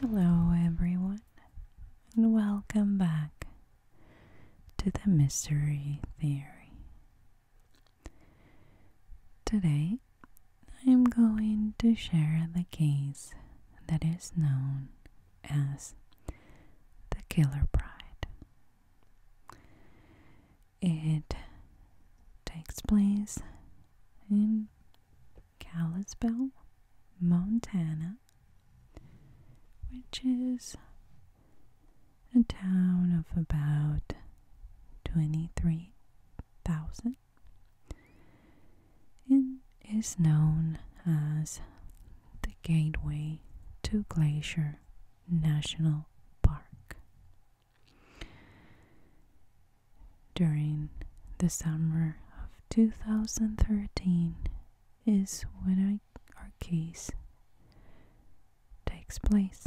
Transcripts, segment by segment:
Hello, everyone, and welcome back to the Mystery Theory. Today, I am going to share the case that is known as the Killer Bride. It takes place in Kalispell, Montana, which is a town of about 23,000 it is known as the gateway to Glacier National Park. During the summer of 2013 is when our case takes place.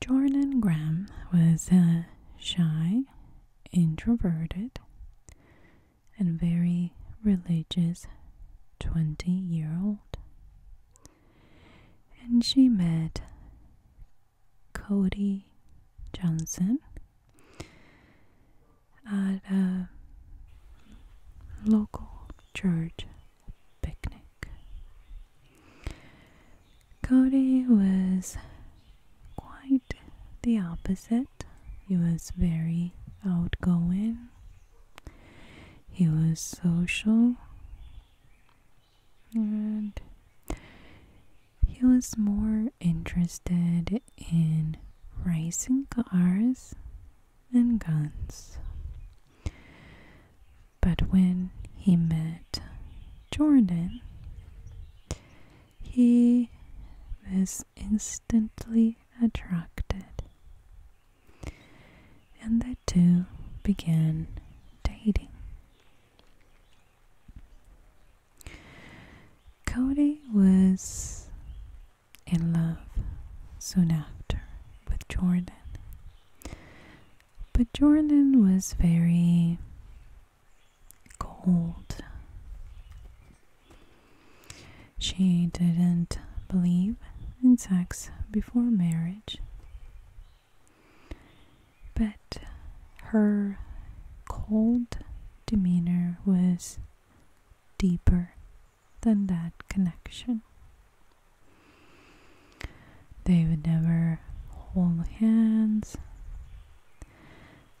Jordan Graham was a uh, shy, introverted, and very religious 20 year old. And she met Cody Johnson at a local church picnic. Cody was quite the opposite. He was very outgoing, he was social, and he was more interested in racing cars and guns. But when he met Jordan, he was instantly attracted, and the two began dating. Cody was in love soon after with Jordan, but Jordan was very cold. She didn't believe in sex before marriage, but her cold demeanor was deeper than that connection. They would never hold hands.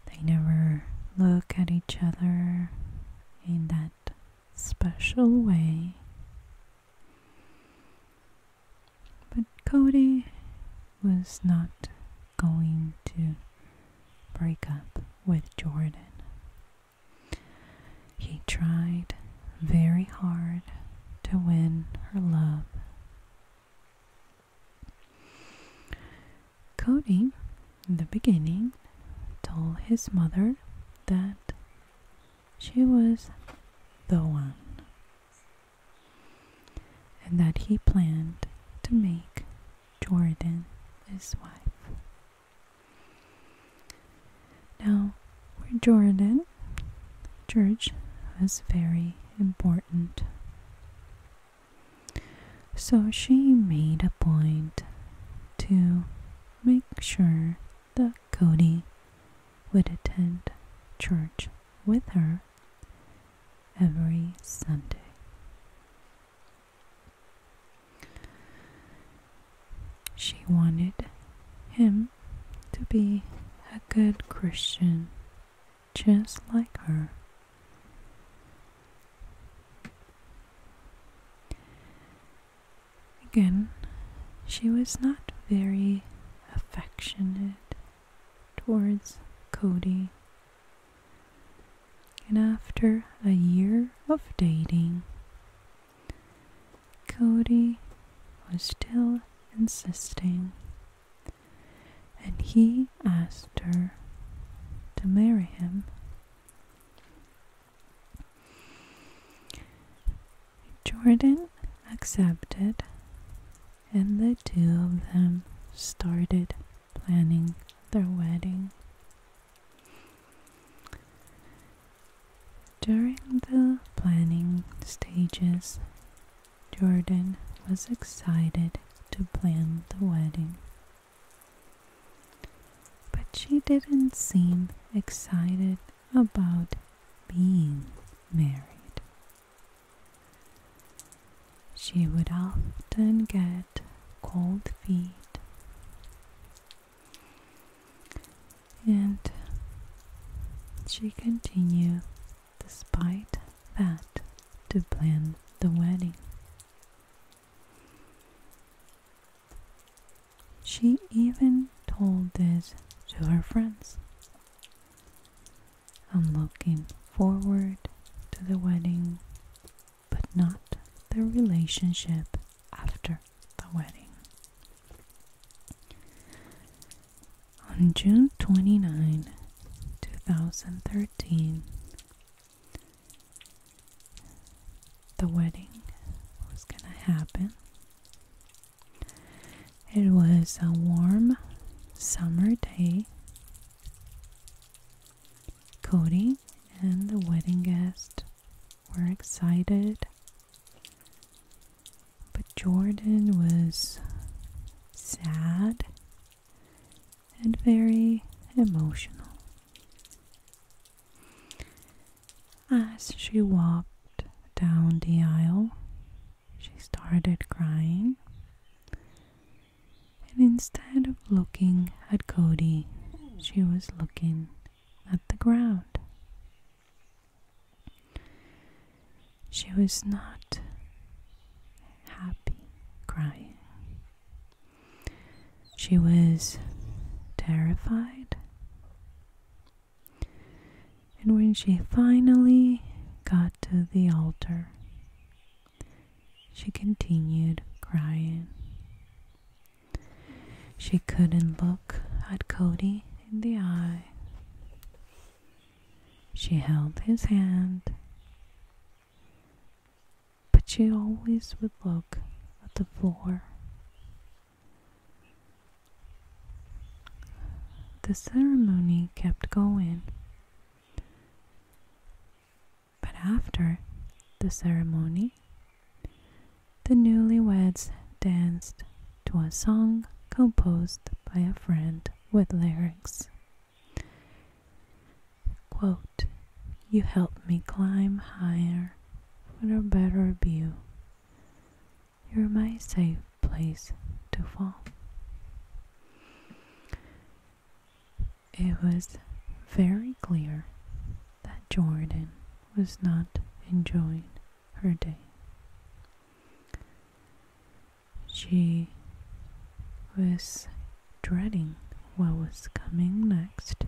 They never look at each other in that special way. But Cody was not going to break up with Jordan. He tried very hard to win her love. Cody, in the beginning, told his mother that she was the one and that he planned to make Jordan his wife. Now, for Jordan, church was very important. So she made a point to make sure that Cody would attend church with her every Sunday. She wanted him to be a good Christian just like her. Again, she was not very affectionate towards Cody. And after a year of dating, Cody was still insisting and he asked her to marry him. Jordan accepted, and the two of them started planning their wedding. During the planning stages, Jordan was excited to plan the wedding. But she didn't seem excited about being married. She would often get cold feet and she continued despite that, to plan the wedding. She even told this to her friends. I'm looking forward to the wedding, but not the relationship after the wedding. On June 29, 2013, the wedding was going to happen. It was a warm summer day. Cody and the wedding guests were excited, but Jordan was sad, and very emotional. As she walked down the aisle, she started crying. And instead of looking at Cody, she was looking at the ground. She was not happy crying. She was terrified. And when she finally got to the altar, she continued crying. She couldn't look at Cody in the eye. She held his hand, but she always would look at the floor. The ceremony kept going, but after the ceremony, the newlyweds danced to a song composed by a friend with lyrics. You help me climb higher for a better view. You're my safe place to fall. It was very clear that Jordan was not enjoying her day. She was dreading what was coming next.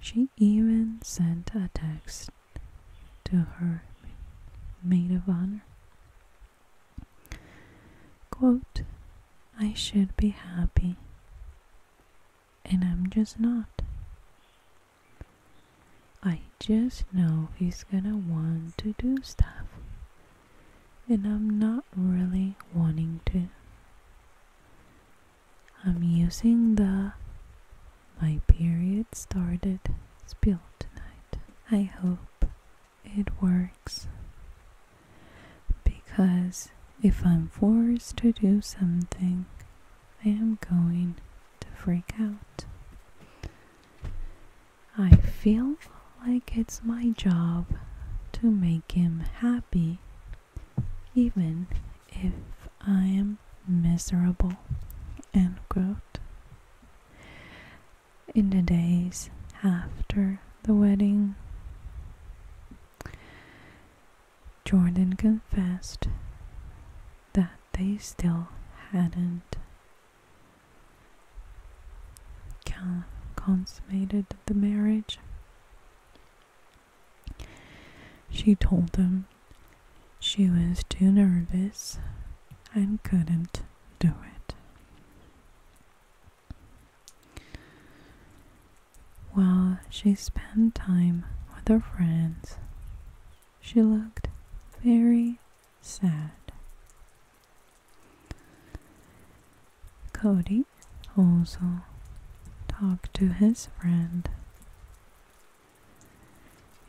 She even sent a text to her maid of honor. Quote, I should be happy, and I'm just not. I just know he's gonna want to do stuff. And I'm not really wanting to. I'm using the my period started spill tonight. I hope it works. Because if I'm forced to do something, I am going to freak out. I feel like it's my job to make him happy, even if I am miserable. End quote. In the days after the wedding, Jordan confessed that they still hadn't consummated the marriage. She told him she was too nervous and couldn't do it. While she spent time with her friends, she looked very sad. Cody also talked to his friend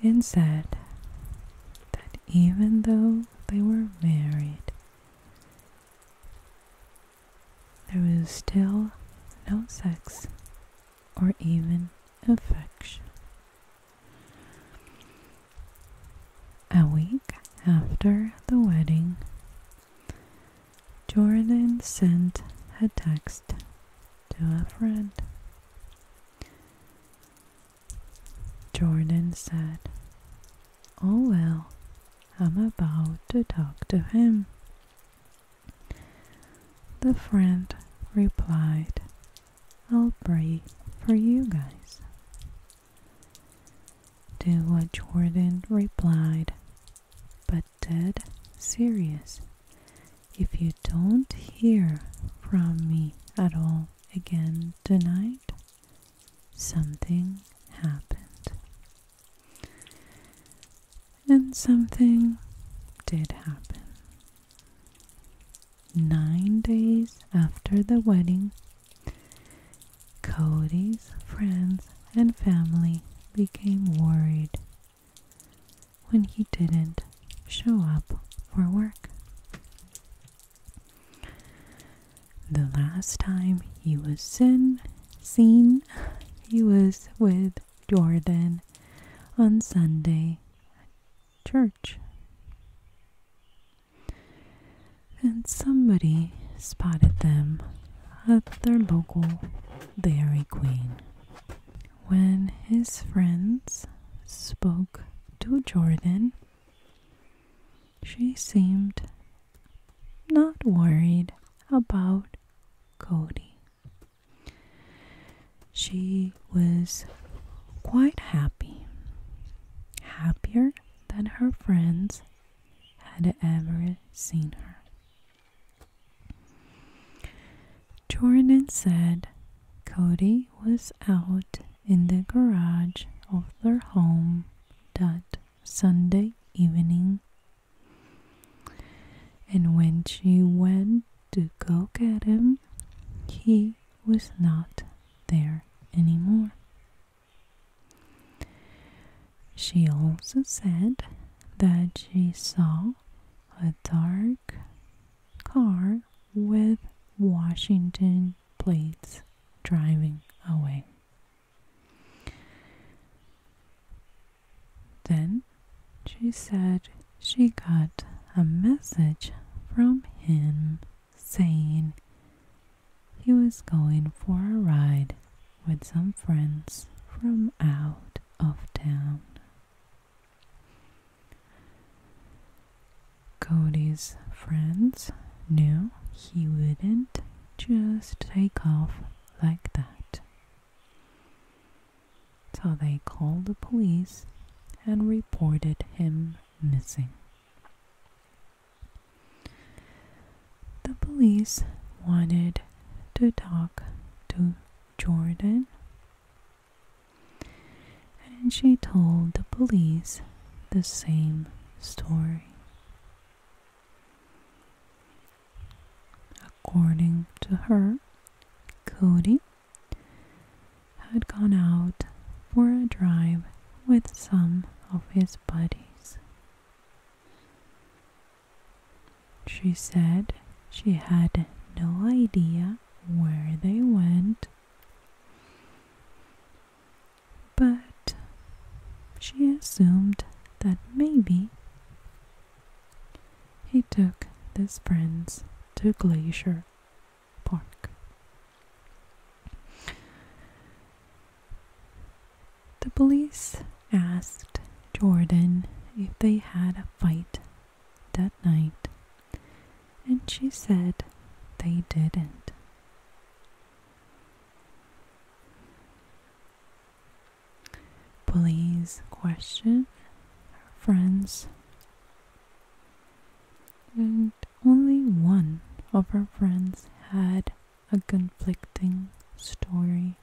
and said that even though they were married, there was still no sex or even affection. A week after the wedding, Jordan sent a text to a friend. Jordan said, Oh well, I'm about to talk to him. The friend replied I'll pray for you guys. Do what Jordan replied, but dead serious. If you don't hear from me at all again tonight, something happened. And something did happen nine days after the wedding, Cody's friends and family became worried when he didn't show up for work. The last time he was seen, he was with Jordan on Sunday, church. And somebody spotted them at their local Dairy Queen. When his friends spoke to Jordan, she seemed not worried about Cody. She was quite happy, happier than her friends had ever seen her. Jordan said Cody was out in the garage of their home that Sunday evening. And when she went to go get him, he was not there anymore. She also said that she saw a dark car with Washington plates driving away. Then she said she got a message from him saying he was going for a ride with some friends from out of town. Cody's friends knew he wouldn't just take off like that. So they called the police and reported him missing. The police wanted to talk to Jordan, and she told the police the same story. According to her, Cody had gone out for a drive with some of his buddies. She said she had no idea where they went, but she assumed that maybe he took his friends to Glacier Park. The police asked Jordan if they had a fight that night, and she said they didn't. Police question her friends, and only one of her friends had a conflicting story.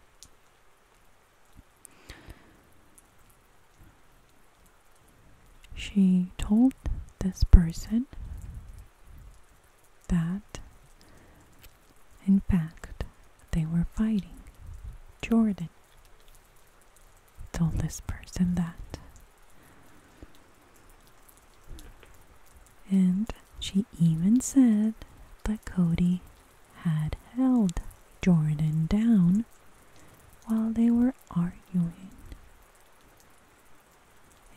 She told this person that, in fact, they were fighting Jordan told this person that. And she even said that Cody had held Jordan down while they were arguing.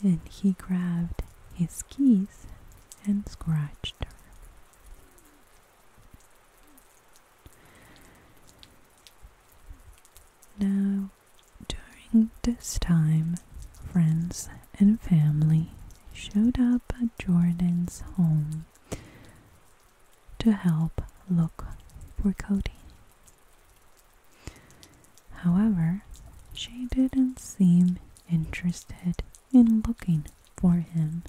And he grabbed his keys and scratched her. Now, during this time, friends and family showed up at Jordan's home to help look for Cody. However, she didn't seem interested in looking for him.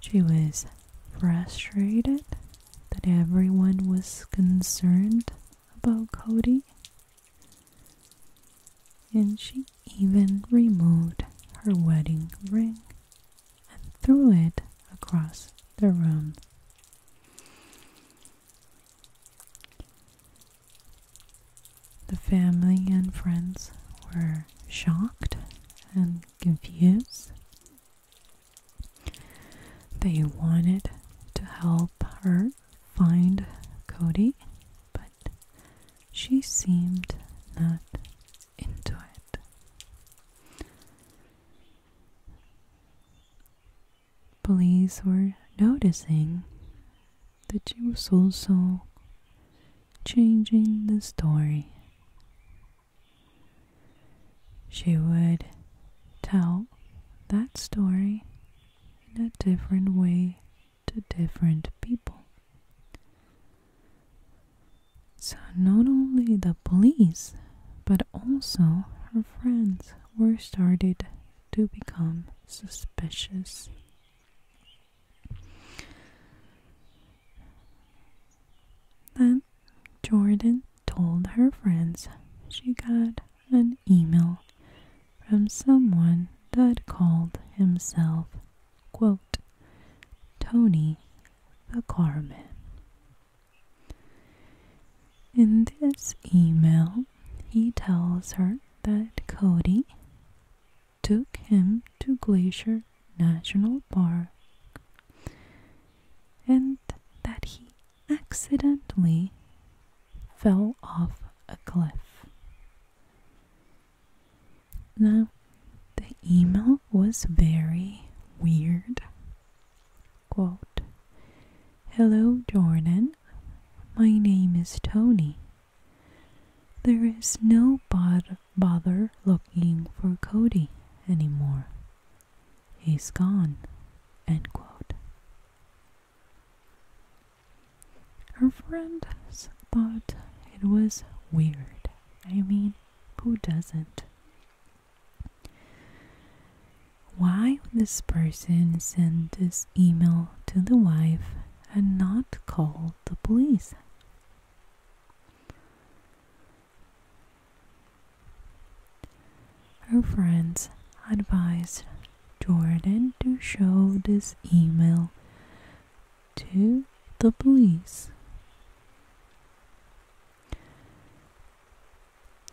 She was frustrated that everyone was concerned about Cody. And she even removed her wedding ring and threw it across the room. The family and friends were shocked and confused they wanted to help her find Cody, but she seemed not into it. Police were noticing that she was also changing the story she would tell that story in a different way to different people. So, not only the police, but also her friends were started to become suspicious. Then Jordan told her friends she got an email from someone that called himself, quote, Tony the Carman. In this email, he tells her that Cody took him to Glacier National Park and that he accidentally fell off a cliff. Now, the email was very weird. Hello, Jordan. My name is Tony. There is no bod- bother looking for Cody anymore. He's gone. End quote. Her friends thought it was weird. I mean, who doesn't? Why would this person send this email to the wife and not call the police? Her friends advised Jordan to show this email to the police.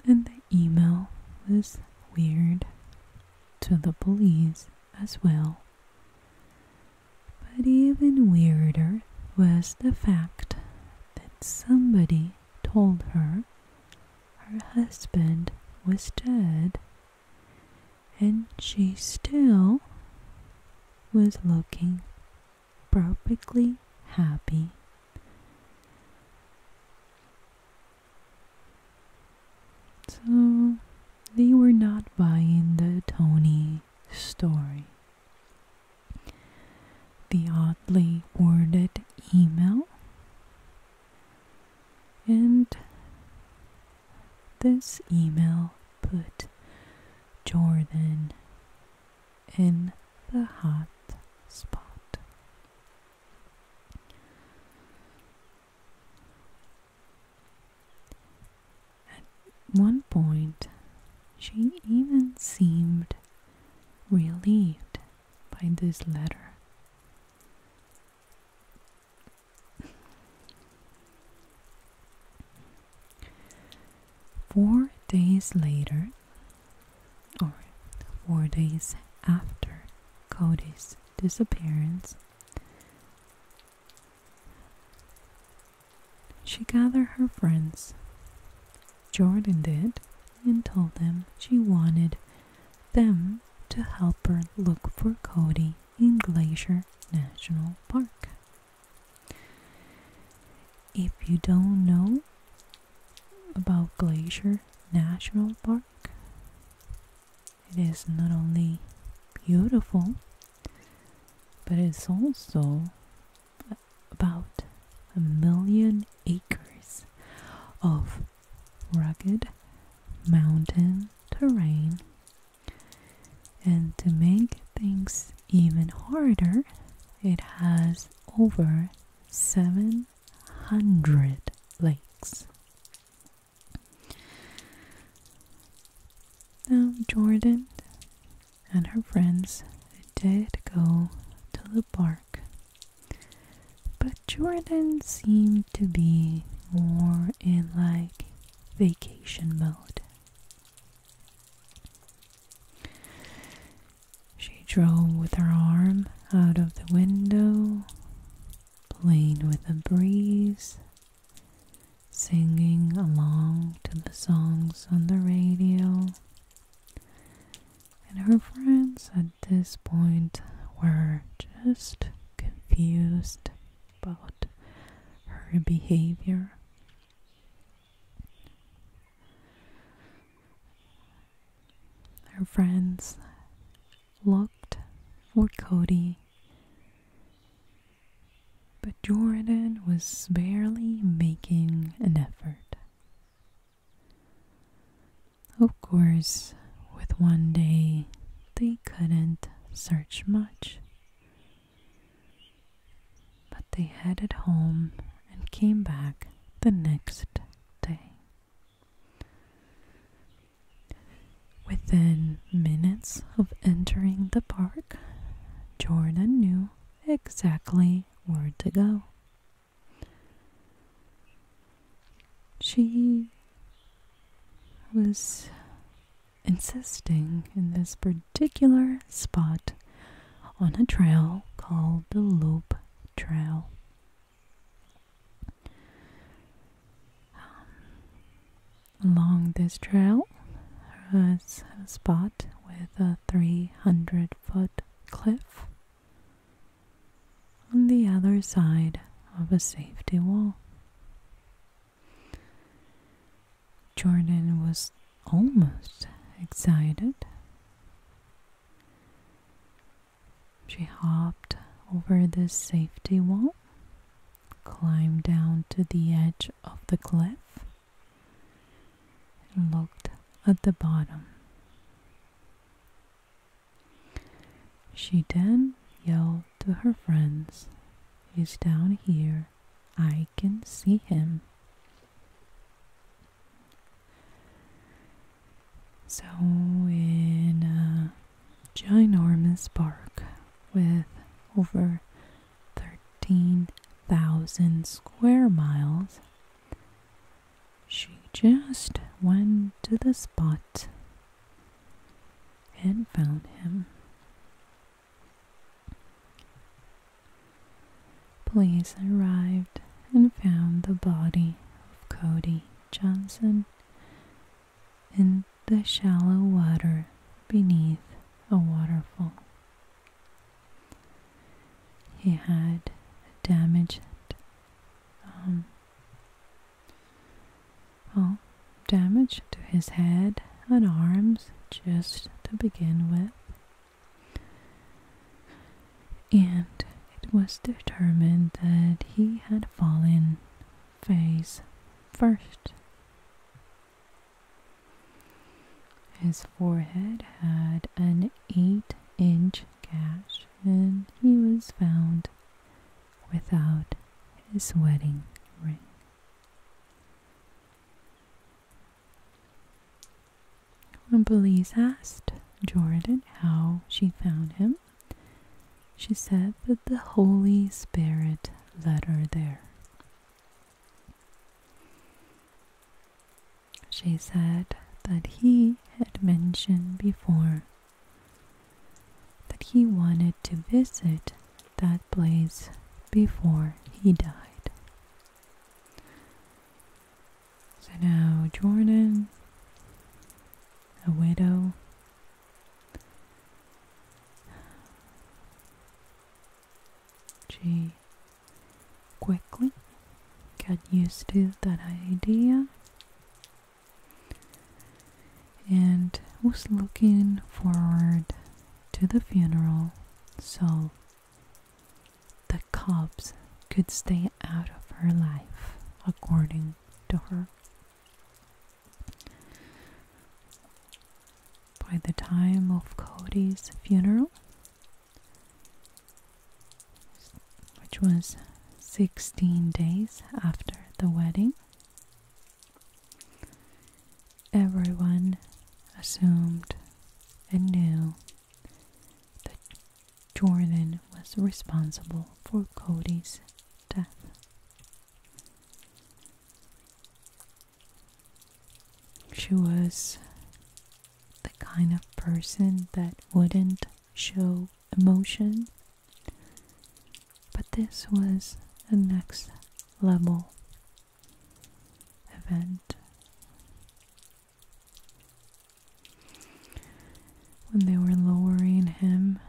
And the email was weird to the police as well. But even weirder was the fact that somebody told her her husband was dead, and she still was looking perfectly happy. So they were not buying the Tony story the oddly worded email, and this email put Jordan in the hot spot. At one point, she even seemed relieved by this letter. Four days later, or four days after Cody's disappearance, she gathered her friends Jordan did and told them she wanted them to help her look for Cody in Glacier National Park. If you don't know about Glacier National Park, it is not only beautiful, but it's also about a million acres of rugged mountain terrain. And to make things even harder, it has over 700 lakes. Now, Jordan and her friends did go to the park but Jordan seemed to be more in like vacation mode. She drove with her arm out of the window, playing with the breeze, singing along to the songs on the radio. And her friends at this point were just confused about her behavior. Her friends looked for Cody, but Jordan was barely making an effort. Of course, with one day, they couldn't search much. But they headed home and came back the next day. Within minutes of entering the park, Jordan knew exactly where to go. She was insisting in this particular spot on a trail called the Loop Trail. Um, along this trail was a spot with a 300 foot cliff on the other side of a safety wall. Jordan was almost excited. She hopped over the safety wall, climbed down to the edge of the cliff, and looked at the bottom. She then yelled to her friends, He's down here. I can see him. So, in a uh, ginormous park with over 13,000 square miles, she just went to the spot and found him. Police arrived and found the body of Cody Johnson in the shallow water beneath a waterfall. He had a damaged um, well, damage to his head and arms just to begin with. And it was determined that he had fallen face first. His forehead had an 8 inch gash and he was found without his wedding ring. When police asked Jordan how she found him, she said that the Holy Spirit led her there she said that he had mentioned before that he wanted to visit that place before he died. So now Jordan, a widow, she quickly Got used to that idea and was looking forward to the funeral so the cops could stay out of her life, according to her. By the time of Cody's funeral, which was 16 days after the wedding. Everyone assumed and knew that Jordan was responsible for Cody's death. She was the kind of person that wouldn't show emotion. But this was a next level event. When they were lowering him,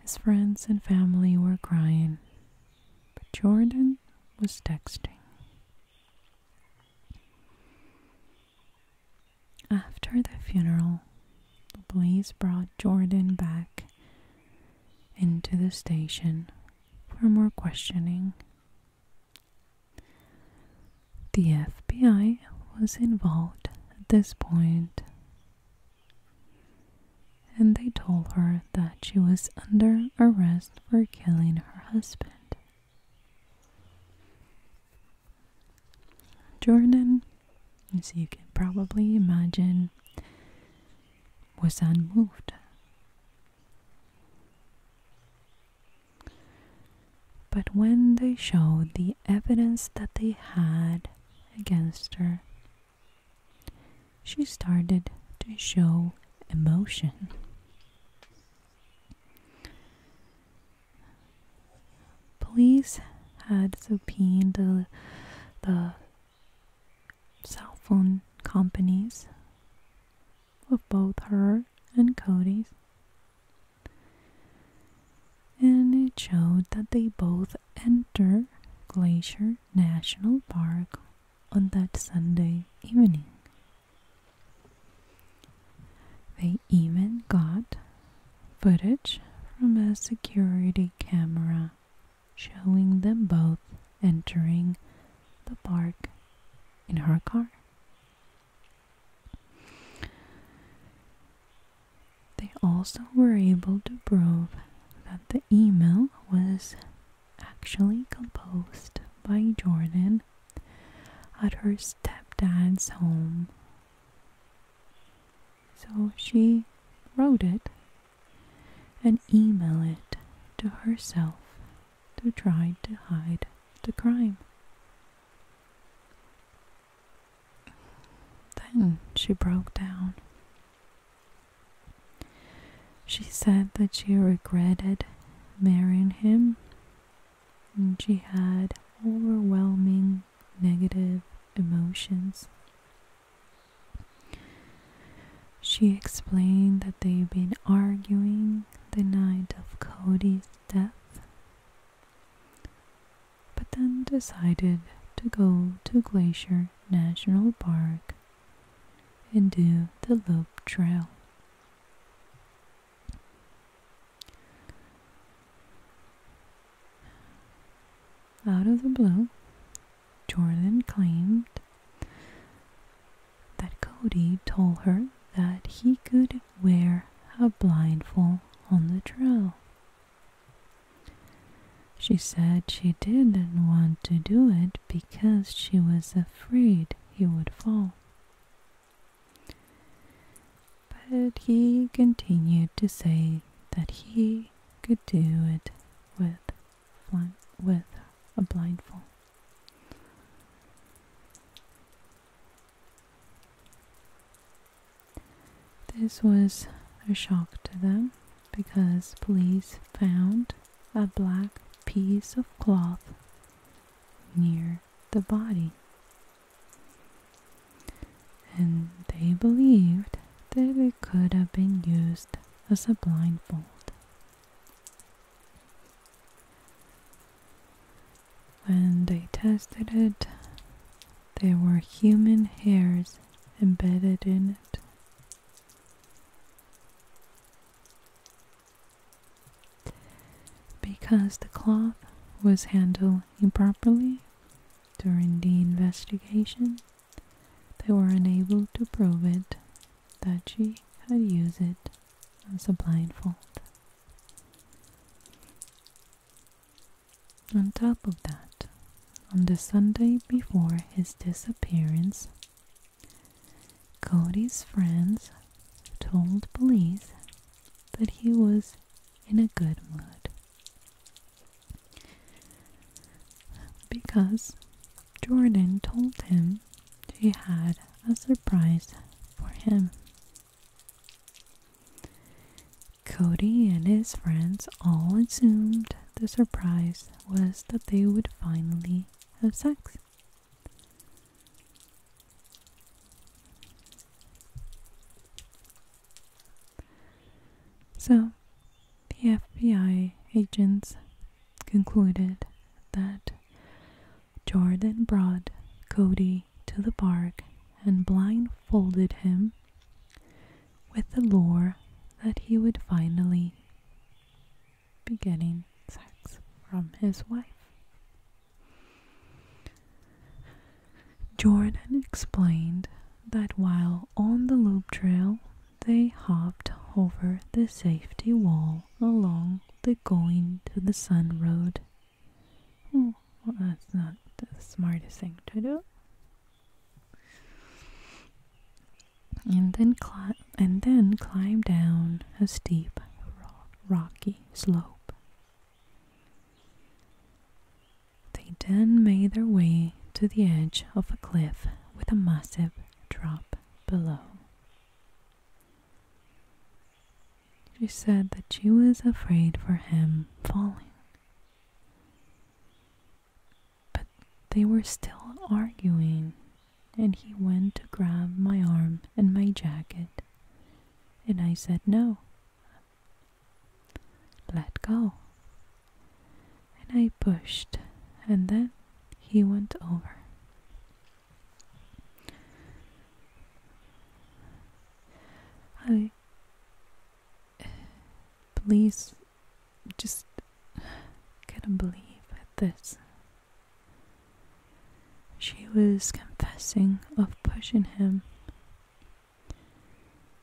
his friends and family were crying, but Jordan was texting. After the funeral, the police brought Jordan back into the station for more questioning. The FBI was involved at this point, and they told her that she was under arrest for killing her husband. Jordan, as you can probably imagine, was unmoved. But when they showed the evidence that they had against her, she started to show emotion. Police had subpoenaed the, cell phone companies of both her and Cody's. And it showed that they both entered Glacier National Park on that Sunday evening they even got footage from a security camera showing them both entering the park in her car. They also were able to prove that the email was actually composed by Jordan at her stepdad's home. So she wrote it and emailed it to herself to try to hide the crime. Then she broke down. She said that she regretted marrying him she had overwhelming negative emotions. She explained that they'd been arguing the night of Cody's death, but then decided to go to Glacier National Park and do the loop trail. Out of the blue, Jordan claimed that Cody told her that he could wear a blindfold on the trail. She said she didn't want to do it because she was afraid he would fall. But he continued to say that he could do it with, with a blindfold. This was a shock to them because police found a black piece of cloth near the body. And they believed that it could have been used as a blindfold. When they tested it, there were human hairs embedded in it. Because the cloth was handled improperly during the investigation, they were unable to prove it that she had used it as a blindfold. On top of that, on the Sunday before his disappearance, Cody's friends told police that he was in a good mood because Jordan told him she had a surprise for him. Cody and his friends all assumed the surprise was that they would finally have sex. So, the FBI agents concluded that Jordan brought Cody to the park and blindfolded him with the lure that he would finally be getting sex from his wife. Jordan explained that while on the loop trail, they hopped over the safety wall along the going to the sun road. Oh, well, that's not the smartest thing to do. And then, and then climb down a steep, rocky slope they then made their way to the edge of a cliff with a massive drop below. She said that she was afraid for him falling. But they were still arguing, and he went to grab my arm and my jacket and I said, No. Let go. And I pushed, and then he went over. I. Please, just couldn't believe at this. She was confessing of pushing him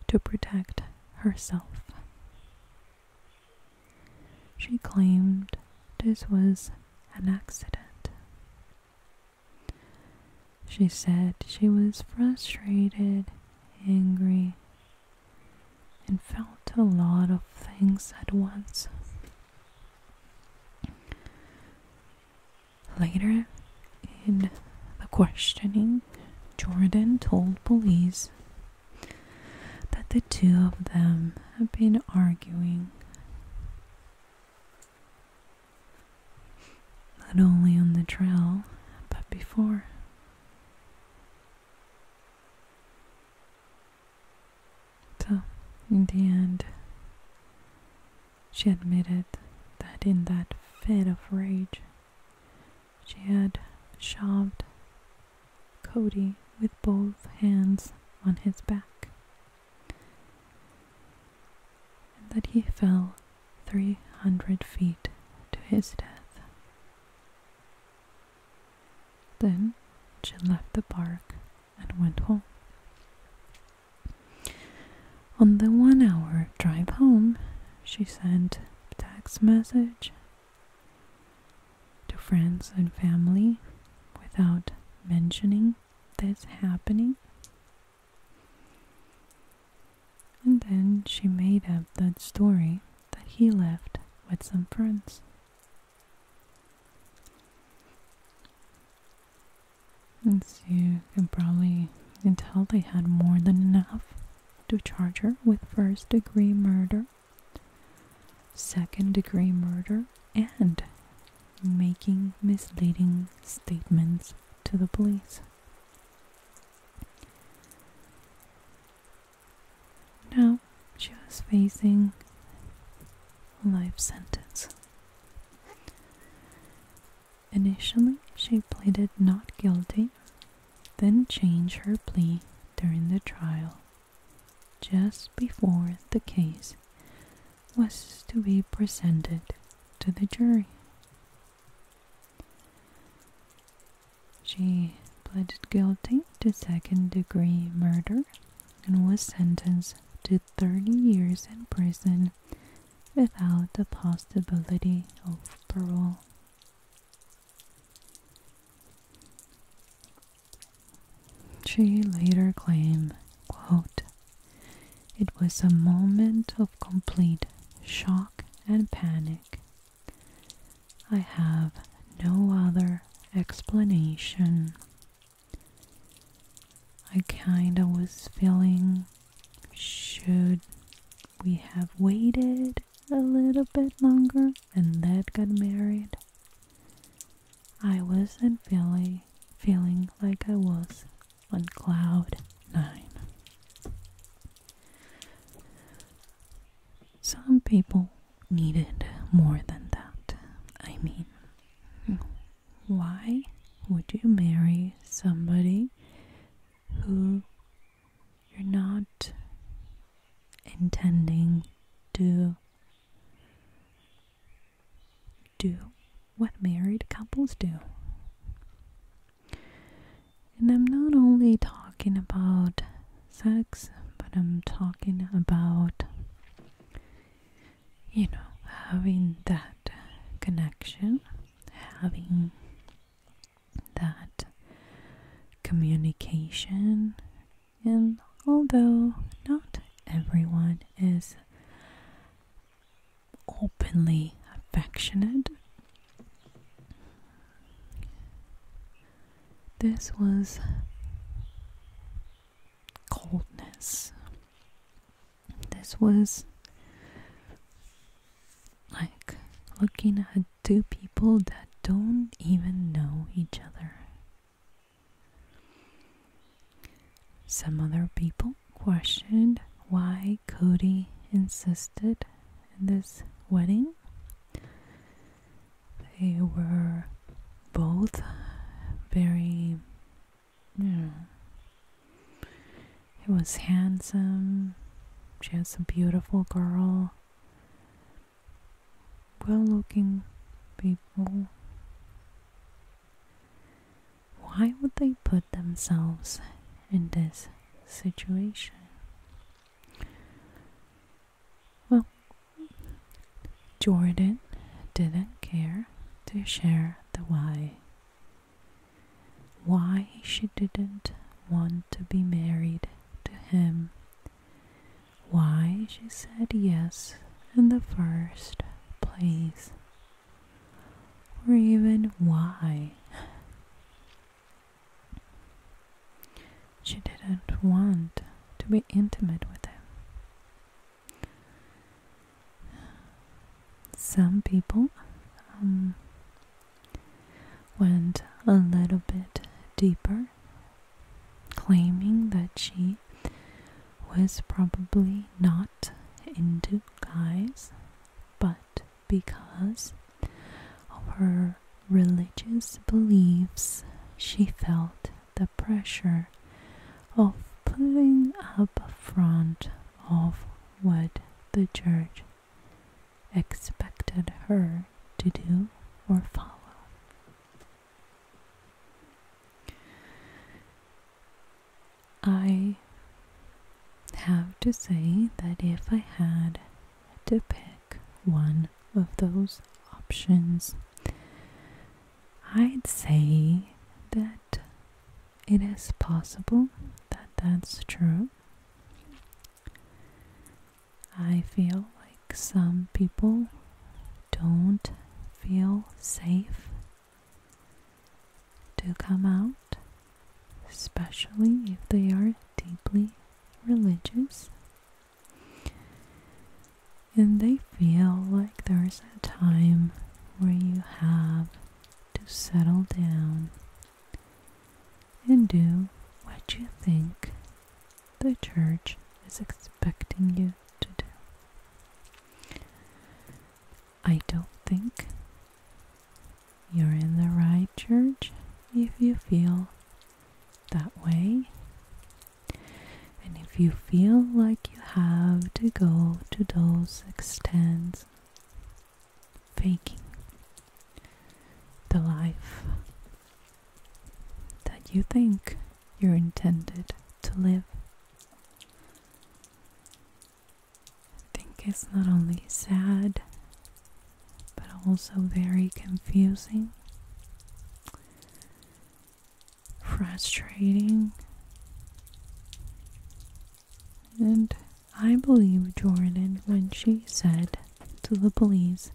to protect herself. She claimed this was an accident. She said she was frustrated, angry, and felt a lot of things at once. Later in the questioning, Jordan told police that the two of them had been arguing not only on the trail but before. So, in the end, she admitted that in that fit of rage, she had shoved Cody with both hands on his back, and that he fell 300 feet to his death. Then she left the park and went home. On the one hour drive home, she sent text message to friends and family without mentioning this happening. And then she made up that story that he left with some friends. And so you can probably tell they had more than enough to charge her with first degree murder, second degree murder, and making misleading statements to the police. Now she's facing a life sentence. Initially, she pleaded not guilty, then changed her plea during the trial, just before the case was to be presented to the jury. She pleaded guilty to second degree murder and was sentenced to 30 years in prison without the possibility of parole. She later claimed, quote, It was a moment of complete shock and panic. I have no other explanation. I kind of was feeling should we have waited a little bit longer and that got married. I wasn't feeling feeling like I was on cloud nine. Some people needed more than that. I mean, why would you marry somebody who you're not intending to do what married couples do? And I'm not only talking about sex, but I'm talking about you know, having that connection, having that communication, and although not everyone is openly affectionate, this was coldness this was like looking at two people that don't even know each other. Some other people questioned why Cody insisted in this wedding. They were both very yeah. He was handsome. She was a beautiful girl. Well looking people. Why would they put themselves in this situation? Well, Jordan didn't care to share the why why she didn't want to be married to him, why she said yes in the first place, or even why she didn't want to be intimate with him. Some people um, went a little bit deeper, claiming that she was probably not into guys, but because of her religious beliefs, she felt the pressure of pulling up front of what the church expected her to do or follow. I have to say that if I had to pick one of those options, I'd say that it is possible that that's true. I feel like some people don't feel safe to come out, especially if they are deeply religious. And they feel like there's a time where you have to settle down and do what you think the church is expecting you to do. I don't think you're in the right church if you feel that way. And if you feel like you have to go to those extents faking the life that you think you're intended to live. I think it's not only sad but also very confusing, frustrating. And I believe Jordan when she said to the police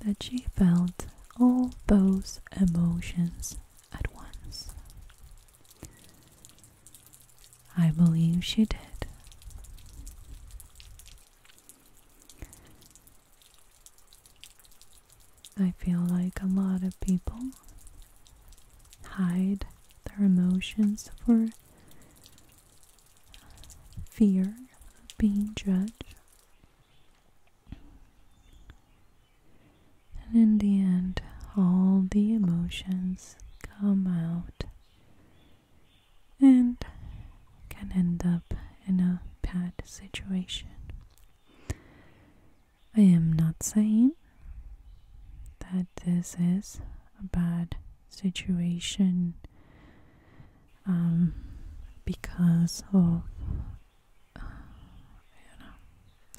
that she felt all those emotions at once. I believe she did. I feel like a lot of people hide their emotions for fear of being judged. And in the end, all the emotions come out and can end up in a bad situation. I am not saying that this is a bad situation um, because of you uh, know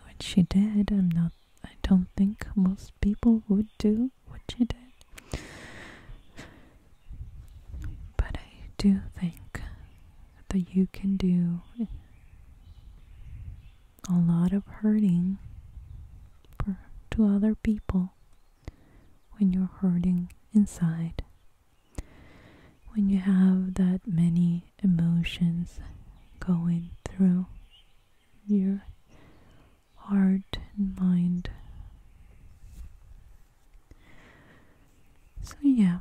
what she did. I'm not. I don't think most people would do what she did, but I do think that you can do a lot of hurting to other people when you're hurting inside. When you have that many emotions going through your heart and mind. So, yeah,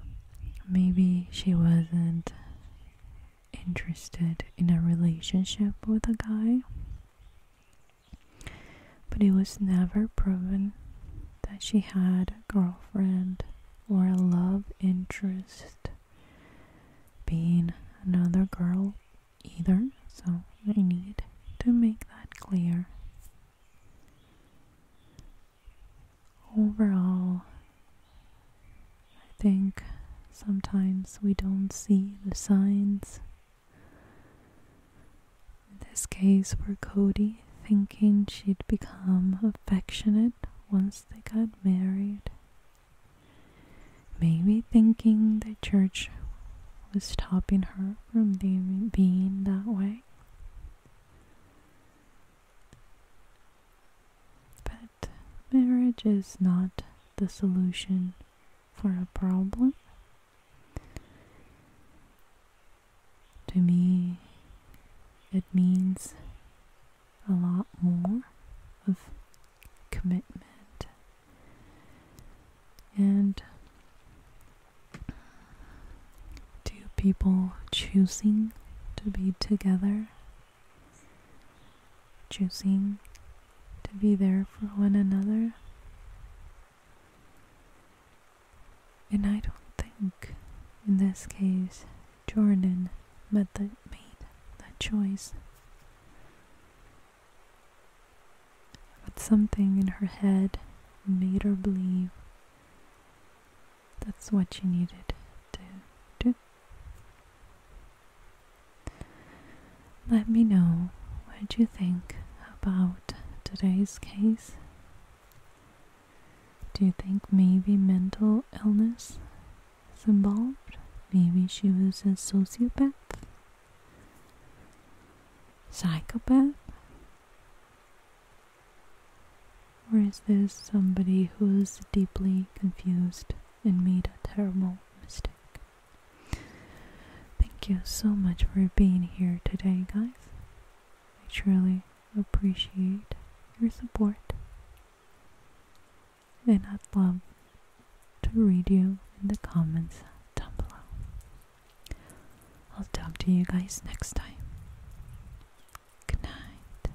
maybe she wasn't interested in a relationship with a guy, but it was never proven that she had a girlfriend or a love interest being another girl either, so I need to make that clear. Overall, I think sometimes we don't see the signs. In this case, for Cody, thinking she'd become affectionate once they got married. Maybe thinking the church was stopping her from being that way. But marriage is not the solution for a problem. To me, it means a lot more of commitment and two people choosing to be together choosing to be there for one another. And I don't think, in this case, Jordan made that, made that choice. But something in her head made her believe that's what she needed to do. Let me know what you think about today's case. Do you think maybe mental illness is involved? Maybe she was a sociopath? Psychopath? Or is this somebody who's deeply confused and made a terrible mistake. Thank you so much for being here today, guys. I truly appreciate your support. And I'd love to read you in the comments down below. I'll talk to you guys next time. Good night.